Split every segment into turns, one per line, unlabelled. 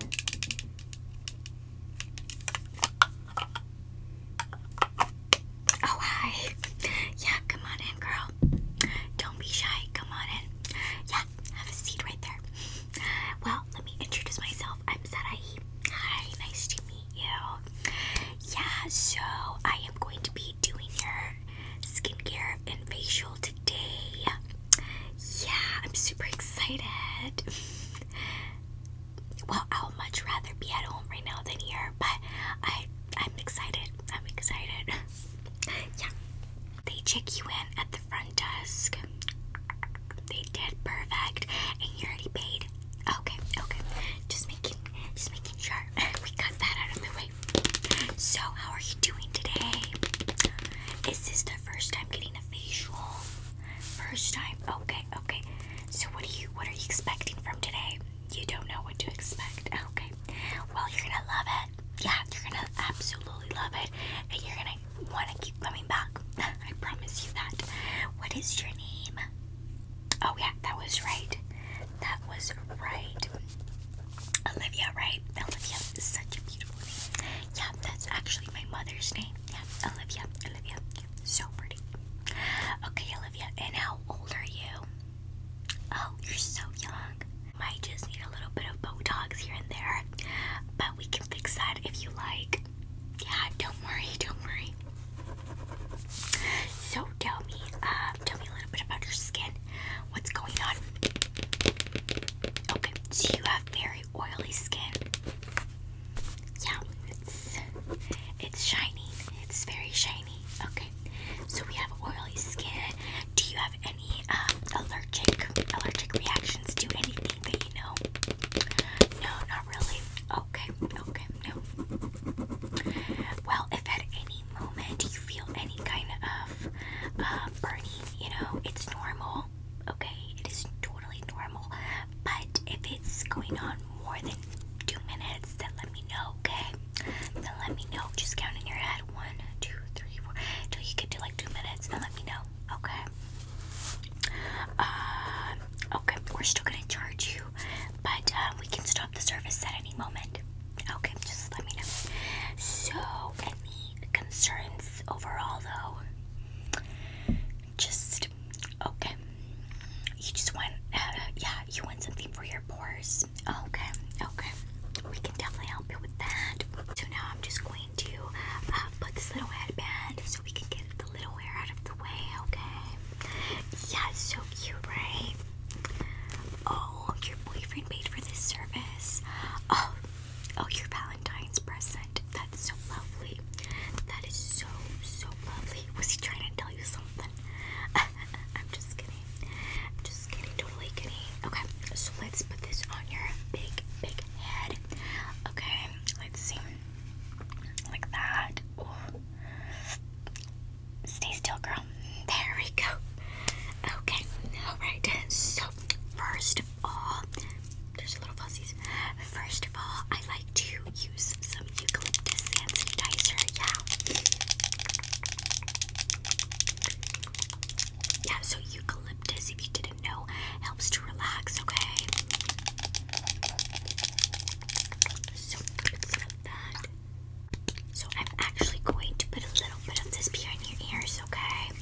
Oh, hi. Yeah, come on in, girl. Don't be shy. Come on in. Yeah, have a seat right there. Well, let me introduce myself. I'm Sadie. Hi, nice to meet you. Yeah, so I am going to be doing your skincare and facial today yeah, I'm super excited. well, I would much rather be at home right now than here, but I I'm excited. I'm excited. yeah. They check you in at the front desk. They did perfect. And you are already paid. Okay, okay. Just making just making sure we got that out of the way. So how are you doing today? Is this the first time getting a a first time. Okay, okay. So what do you what are you expecting from today? You don't know what to expect. Okay. Well, you're gonna love it. Yeah, you're gonna absolutely love it, and you're gonna want to keep coming back. I promise you that. What is your name? Oh yeah, that was right. That was right. Olivia, right? Olivia such a beautiful name. Yeah, that's actually my mother's name. Yeah, Olivia. Olivia. So pretty. Okay, Olivia, and how old are you? Oh, you're so young. Might just need a little bit of Botox here and there, but we can fix that if you like. Yeah, don't worry, don't worry. So tell me, uh, tell me a little bit about your skin. What's going on? Okay, so you have very oily skin. Yeah, it's it's shiny. It's very shiny. Okay, so we have oily skin. Do you have any um, allergic allergic reactions to anything that you know? No, not really. Okay, okay, no. Well, if at any moment you feel any kind of uh, Bernie, you know, it's normal, okay? It is totally normal. But if it's going on more than two minutes, then let me know, okay? Then let me know. Just count in your head one, two, three, four, till you get to like two minutes, and let me know, okay? Uh, okay, we're still gonna charge you, but uh, we can stop the service at any moment. Okay, just let me know. So, concerns overall, though. Just okay. You just want, uh, yeah, you want something for your pores. Okay, okay. We can definitely help you with that. So now I'm just going to uh, put this little headband so we can get the little hair out of the way. Okay. Yeah, it's so cute, right? Oh, your boyfriend paid for this service. Oh, Oh, your Valentine's present. That's so lovely. That is so, so lovely. Was he trying to tell you something? I'm just kidding. I'm just kidding. Totally kidding. Okay, so let's put this on your big, big head. Okay, let's see. Like that. Stay still, girl. There we go. Okay, alright. So, first of all, there's a little fuzzies. First of all, I like to use some eucalyptus hand sanitizer. Yeah. Yeah, so eucalyptus, if you didn't know, helps to relax, okay? So, that. So I'm actually going to put a little bit of this in your ears, okay?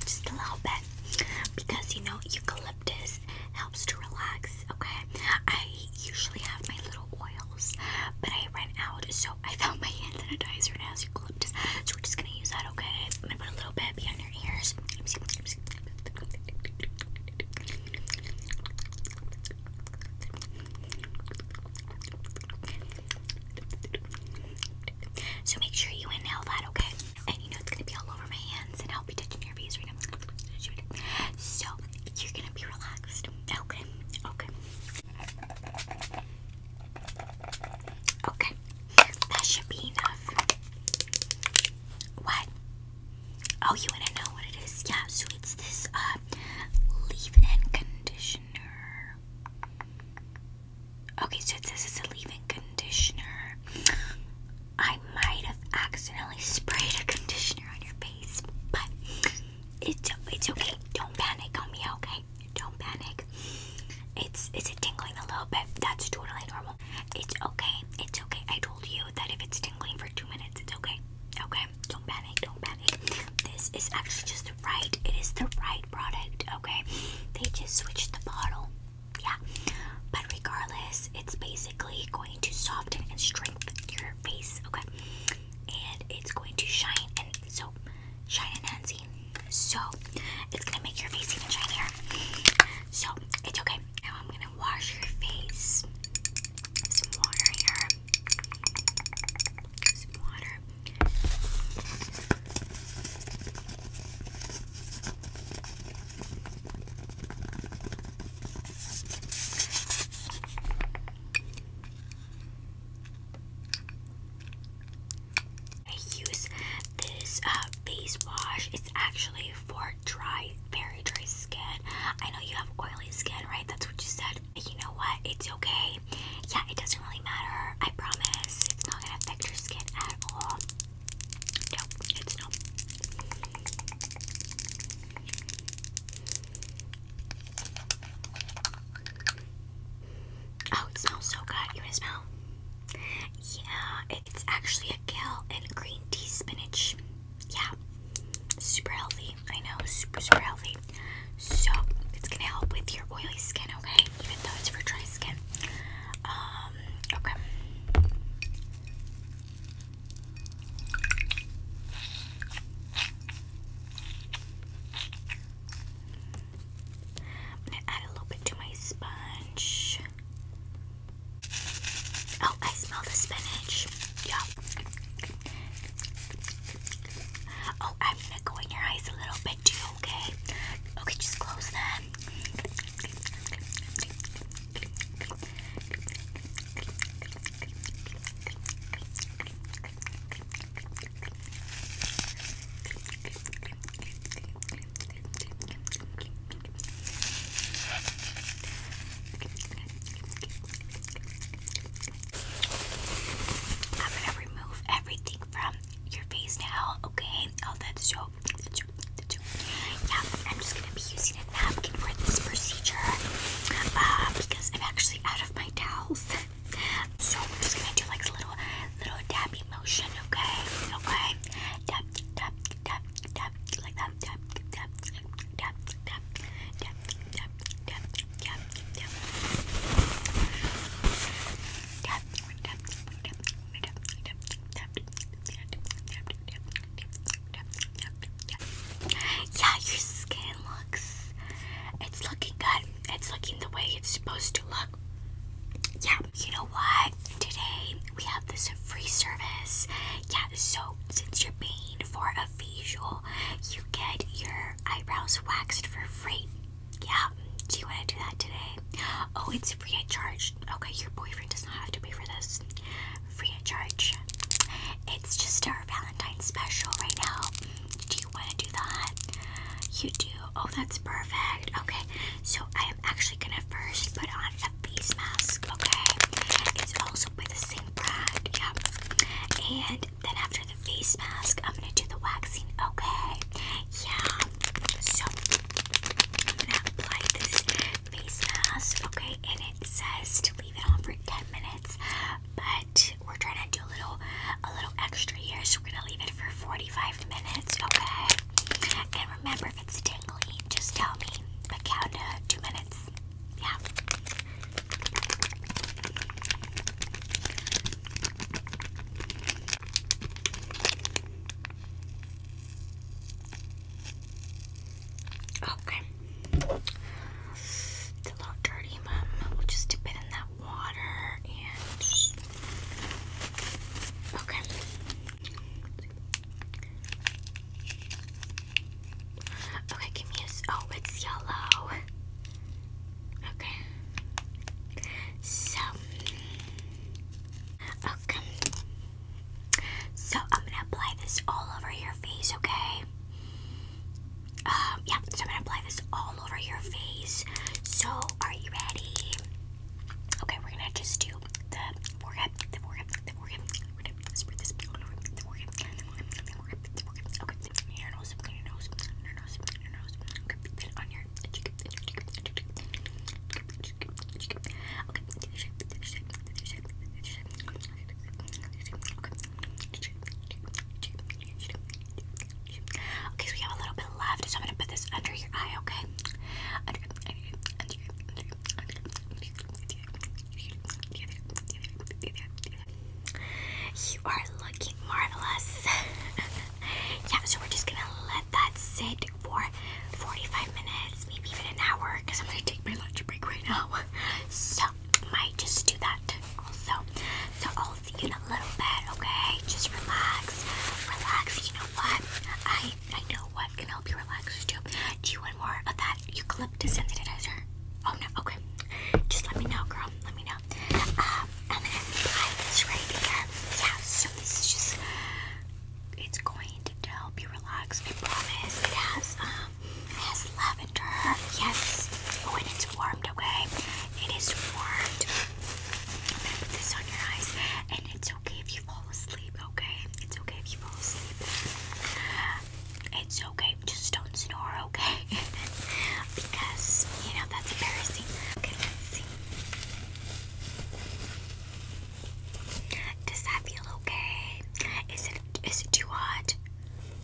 Just a little bit. Because you know, eucalyptus helps to relax, okay? I usually have my little oils, but I ran out, so I found my hand sanitizer and it has eucalyptus. So we're just gonna use that, okay? I'm gonna put a little bit behind your ears. So make sure you inhale that, okay? And you know it's gonna be all over my hands, and I'll be touching your face right now. So you're gonna be relaxed, okay? Okay. Okay. That should be enough. What? Oh, you wanna know what it is? Yeah. So it's this uh leave-in conditioner. Okay, so this is a leave-in conditioner. I might have accidentally sprayed a conditioner on your face, but it's it's okay. Don't panic on me, okay? Don't panic. It's is tingling a little bit? That's totally normal. It's okay. It's okay. I told you that if it's tingling for two minutes, it's okay. Okay. Don't panic, don't panic. This is actually just the right, it is the right product, okay? They just switched the bottle, yeah. But regardless, it's basically going to soften and strengthen your face, okay? And it's going to shine and so shine and enhancing. So it's gonna make your face even shinier. So it's okay. Now I'm gonna wash your face. Some water here. Some water. I use this uh, face wash. It's actually for dry, very dry skin. I know you have oily skin, right? That's what you said. You know what? It's okay. Yeah, it doesn't really matter. I promise. It's not gonna affect your skin at all. No, it's not. Oh, it smells so good. You wanna smell? Yeah, it's actually a kale and green tea spinach. Yeah, Super healthy. I know, super, super healthy. So, it's gonna help with your oily skin, okay? Even though it's for dry skin. Um, okay. I'm gonna add a little bit to my sponge. Oh, I smell the spinach. Yeah. Oh, I'm gonna go in your eyes a little bit too, okay? Okay, just close them. I'm gonna remove everything from your face now, okay? Oh, that's so, Yeah, I'm just gonna be using a napkin for this procedure uh, because I'm actually out of my towels. so I'm just gonna do like a little, little dabby motion, okay? Okay, dab, dab, dab, dab, like that, dab, dab, dab, dab, dab, yeah, your skin looks. It's looking good. It's looking the way it's supposed to look. Yeah, you know what? Today we have this free service. Yeah, so since you're paying for a facial, you get your eyebrows waxed for free. Yeah, do you want to do that today? Oh, it's free of charge. Okay, your boyfriend does not have to pay for this. Free of charge. It's just our Valentine's special right now. Do you want to do that? You do. Oh, that's perfect. Okay, so I am actually gonna first put on a face mask. Okay, it's also by the same brand, yeah. And then after the face mask, I'm gonna do the waxing, okay? Yeah. So I'm gonna apply this face mask, okay? And it says to leave it on for 10 minutes, but we're trying to do a little a little extra here, so we're gonna leave it for 45 minutes, okay? And remember if it's tingly, just tell me. But count to two minutes. Yeah. Okay. It's a little dirty, Mom. We'll just dip it in that water and. Okay. Okay, give me a. Oh, it's yellow. Okay. So. Okay. So I'm gonna apply this all over your face, okay? Um, yeah, so I'm gonna apply this all over your face. So, are you ready? Okay, we're gonna just do the forehead, the forehead, the forehead, we're gonna spread this all over the forehead, the forehead, the forehead, the forehead. Okay, clean your nose, clean your nose, clean your nose, clean your nose. Okay, then on your cheek, cheek, cheek, cheek, cheek, cheek. Okay, do the shape, do the shape, do the shape, do the shape. Okay, so we have a little bit left, so I'm gonna put this under your eye, okay? Under, under, under, under, under, under, under, under, you are looking marvelous. yeah, so we're just gonna let that sit for 45 minutes, maybe even an hour, because I'm gonna take my lunch break right now. So, might just do that also. So, I'll see you in a little bit, okay? Just relax, relax. You know what? I I know what can help you relax too. Do you want more of that You eucalyptus sanitizer? Oh no, okay. Just let me know, girl. Let me know. Um, i right here. Yeah, so this is just it's going to help you relax, I promise. It um has lavender, yes. When oh, it's warmed, okay? It is warmed. put this on your eyes and it's okay if you you fall asleep, okay? It's okay if you fall asleep. It's okay, just don't snore, okay? because, you know, that's embarrassing. Okay, let's see. Does that feel okay? Is it is it too hot?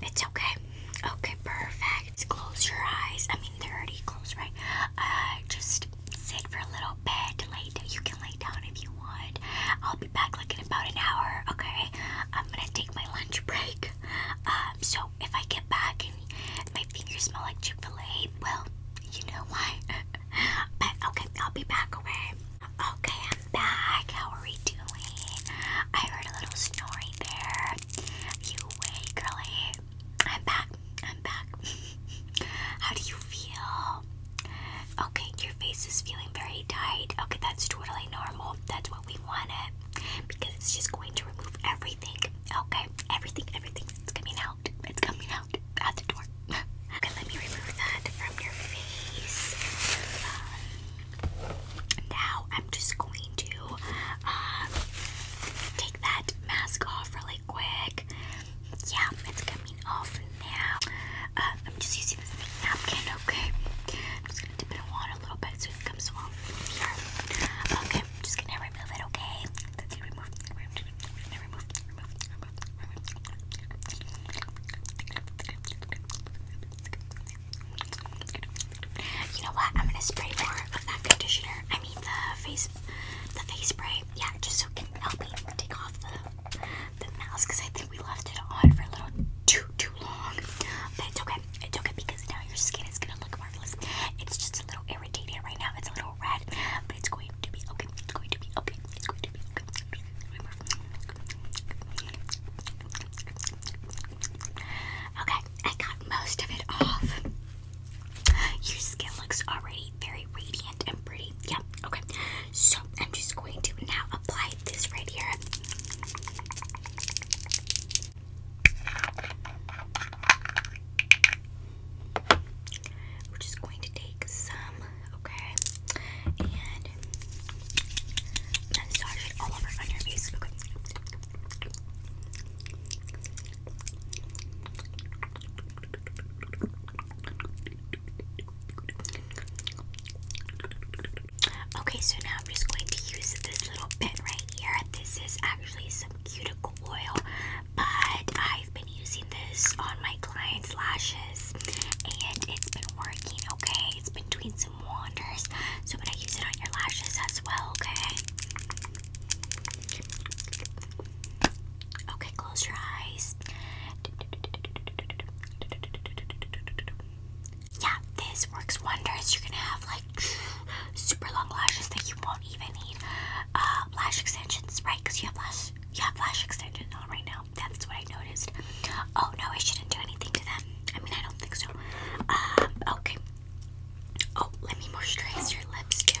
It's okay. Okay, perfect. Close your eyes. I mean, they're already closed, right? Uh, just sit for a little bit. Lay down. You can down if you want. I'll be back like in about an hour, okay? I'm gonna take my lunch break. Um, so if I get back and my fingers smell like Chick well, you know why. but okay, I'll be back, okay? I'm back. How are we doing? I heard a little snoring there. You way, girly. I'm back. I'm back. How do you feel? Okay, your face is feeling very tight. Okay, that's totally normal. That's what we want it because it's just going to remove everything. Okay, everything, everything that's coming out. It's coming out at the door. okay, let me remove that from your face. Um, now I'm just going to uh, take that mask off really quick yeah, it's coming off now. I'm uh, just using the napkin, okay? I'm just gonna dip it in water a little bit so it comes off here. Okay, I'm just gonna remove it, okay? You know what? I'm gonna spray more of that conditioner. I mean the face, the face spray. Yeah, just so it can help me take off the the mouse because I think we left it on for a little too too long. But it's okay. It's okay because now your skin is gonna look marvelous. It's just a little irritated right now. It's a little red, but it's going to be okay. It's going to be okay. It's going to be okay. Okay, I got most of it off. Your skin looks already very, radiant and pretty. Yeah, okay. So I'm just going to now apply this right here. We're just going to take some, okay, and massage it all over on your face. Okay. Okay, so now I'm just going to use this little bit right here. This is actually some cuticle oil, but I've been using this on my clients' lashes and it's been working okay. It's been doing some wonders. So, I'm gonna use it on your lashes as well, okay? Okay, close your eyes. Yeah, this works wonders. You're gonna have like super long lashes that you won't even need uh, lash extensions, right? Because you have lash, you have lash extensions on right now. That's what I noticed. Oh no, I shouldn't do anything to them. I mean, I don't think so. Um, okay. Oh, let me moisturize your lips too.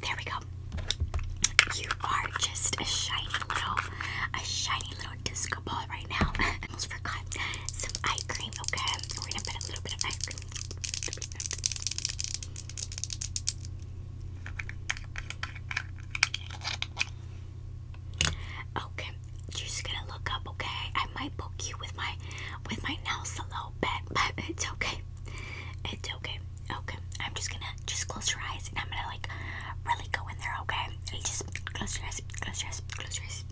There we go. You are just a shiny little, a shiny little disco ball right now. almost forgot some eye cream. Okay, we're gonna put a little bit of eye cream. Okay, you're just gonna look up. Okay, I might poke you with my, with my nail salon it's okay. It's okay. Okay. I'm just gonna just close your eyes and I'm gonna like really go in there, okay? just close your eyes, close your eyes, close your eyes.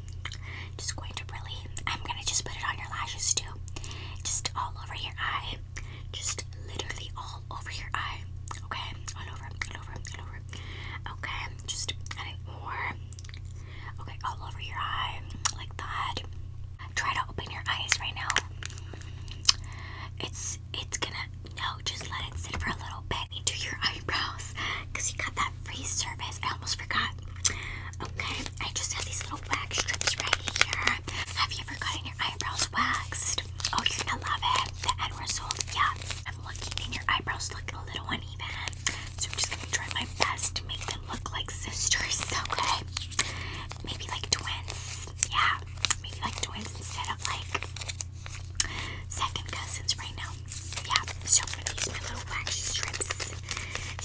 Just going to really I'm gonna just put it on your lashes too. Just all over your eye. Just literally all over your eye. Okay? All over, all over, all over. Okay, just and more Okay, all over your eye, like that. Try to open your eyes right now. It's it's gonna no, just let it sit for a little bit into your eyebrows, cause you got that free service. I almost forgot. Okay, I just have these little wax strips right here. Have you ever gotten your eyebrows waxed? Oh, you're gonna love it. The end result, yeah. I'm looking, and your eyebrows look a little uneven. So I'm just gonna try my best to make them look like sisters, okay? Maybe like twins, yeah. Maybe like twins instead of like second cousins right now. Yeah, so I'm gonna use my little wax strips.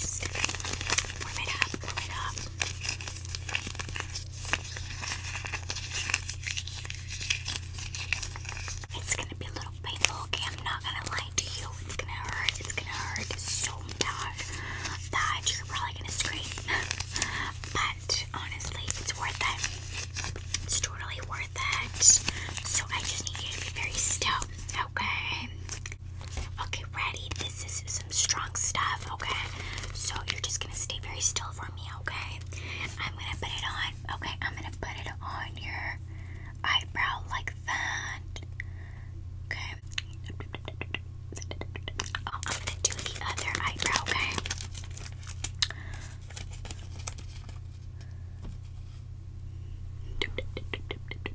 Just warm it up, warm it up. It's gonna be a little painful, okay? I'm not gonna lie to you. It's gonna hurt. It's gonna hurt so bad that you're probably gonna scream. but honestly, it's worth it. It's totally worth it. So I just need you to be very still, okay? Okay, ready? This is some strong stuff, okay? So you're just gonna stay very still for me, okay? I'm gonna put it on, okay? I'm gonna put it on your eyebrow like Okay. Oh, I'm gonna do the other eyebrow, okay?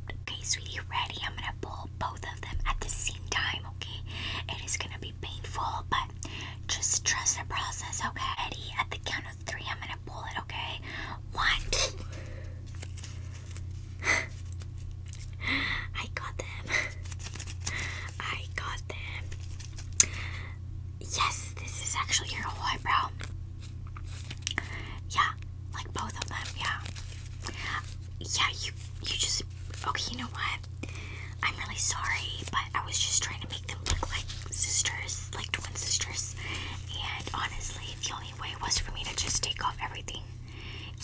Okay, sweetie, ready? I'm gonna pull both of them at the same time, okay? It is gonna be painful, but just trust the process, okay? Eddie, At the counter three, I'm gonna pull it, okay? One. I got them. I got them. Yes, this is actually your whole eyebrow. Yeah, like both of them, yeah. Yeah, you you just okay, you know what? I'm really sorry, but I was just trying to make them look like sisters like twin sisters, and honestly, the only way was for me to just take off everything.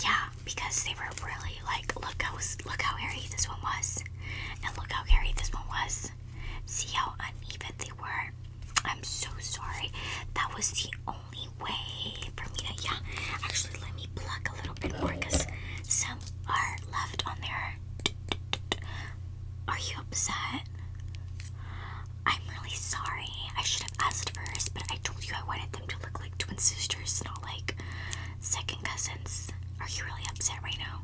Yeah, because they were really like, look how look how hairy this one was, and look how hairy this one was. See how uneven they were. I'm so sorry. That was the only way for me to. Yeah, actually, let me pluck a little bit more because some are left on there. Are you upset? I'm really sorry. I should have asked first, but I told you I wanted them to look like twin sisters, not like second cousins. Are you really upset right now?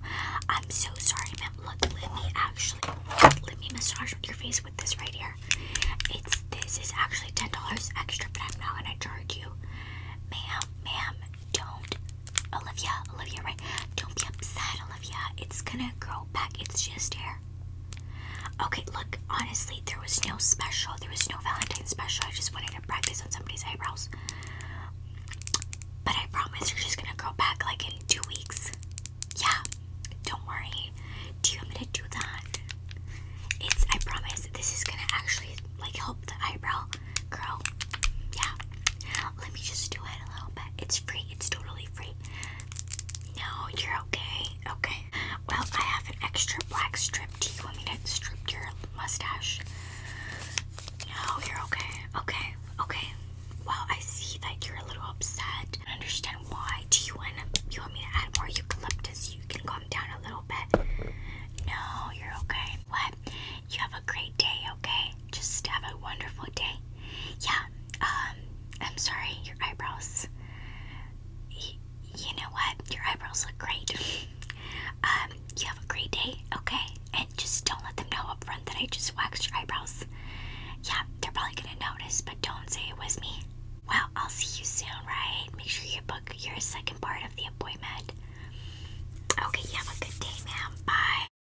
I'm so sorry, ma'am. Look, let me actually let me massage your face with this right here. It's this is actually ten dollars extra, but I'm not gonna charge you, ma'am. Ma'am, don't, Olivia, Olivia, right? Don't be upset, Olivia. It's gonna grow back. It's just hair. Okay, look, honestly, there was no special. There was no Valentine special. I just wanted to practice on somebody's eyebrows. But I promise you're just gonna grow back like in two weeks. Yeah, don't worry. Do you want me to do that? It's, I promise, this is gonna actually like help the eyebrow grow. Yeah, let me just do it a little bit. It's free, it's totally free. No, you're okay. Okay. Well, I have an extra black strip. Do you want me to strip your mustache? No, you're okay. Okay. Okay. Well, I see that you're a little upset. I understand why. Do you want you want me to add more eucalyptus? You can calm down a little bit. No, you're okay. What? You have a great day, okay? Just have a wonderful day. Yeah, um, I'm sorry, your eyebrows. you know what? Your eyebrows look great. Um, you have a great day, okay? And just don't let them know up front that I just waxed your eyebrows. Yeah, they're probably gonna notice, but don't say it was me. Well, I'll see you soon, right? Make sure you book your second part of the appointment. Okay, you have a good day, ma'am. Bye.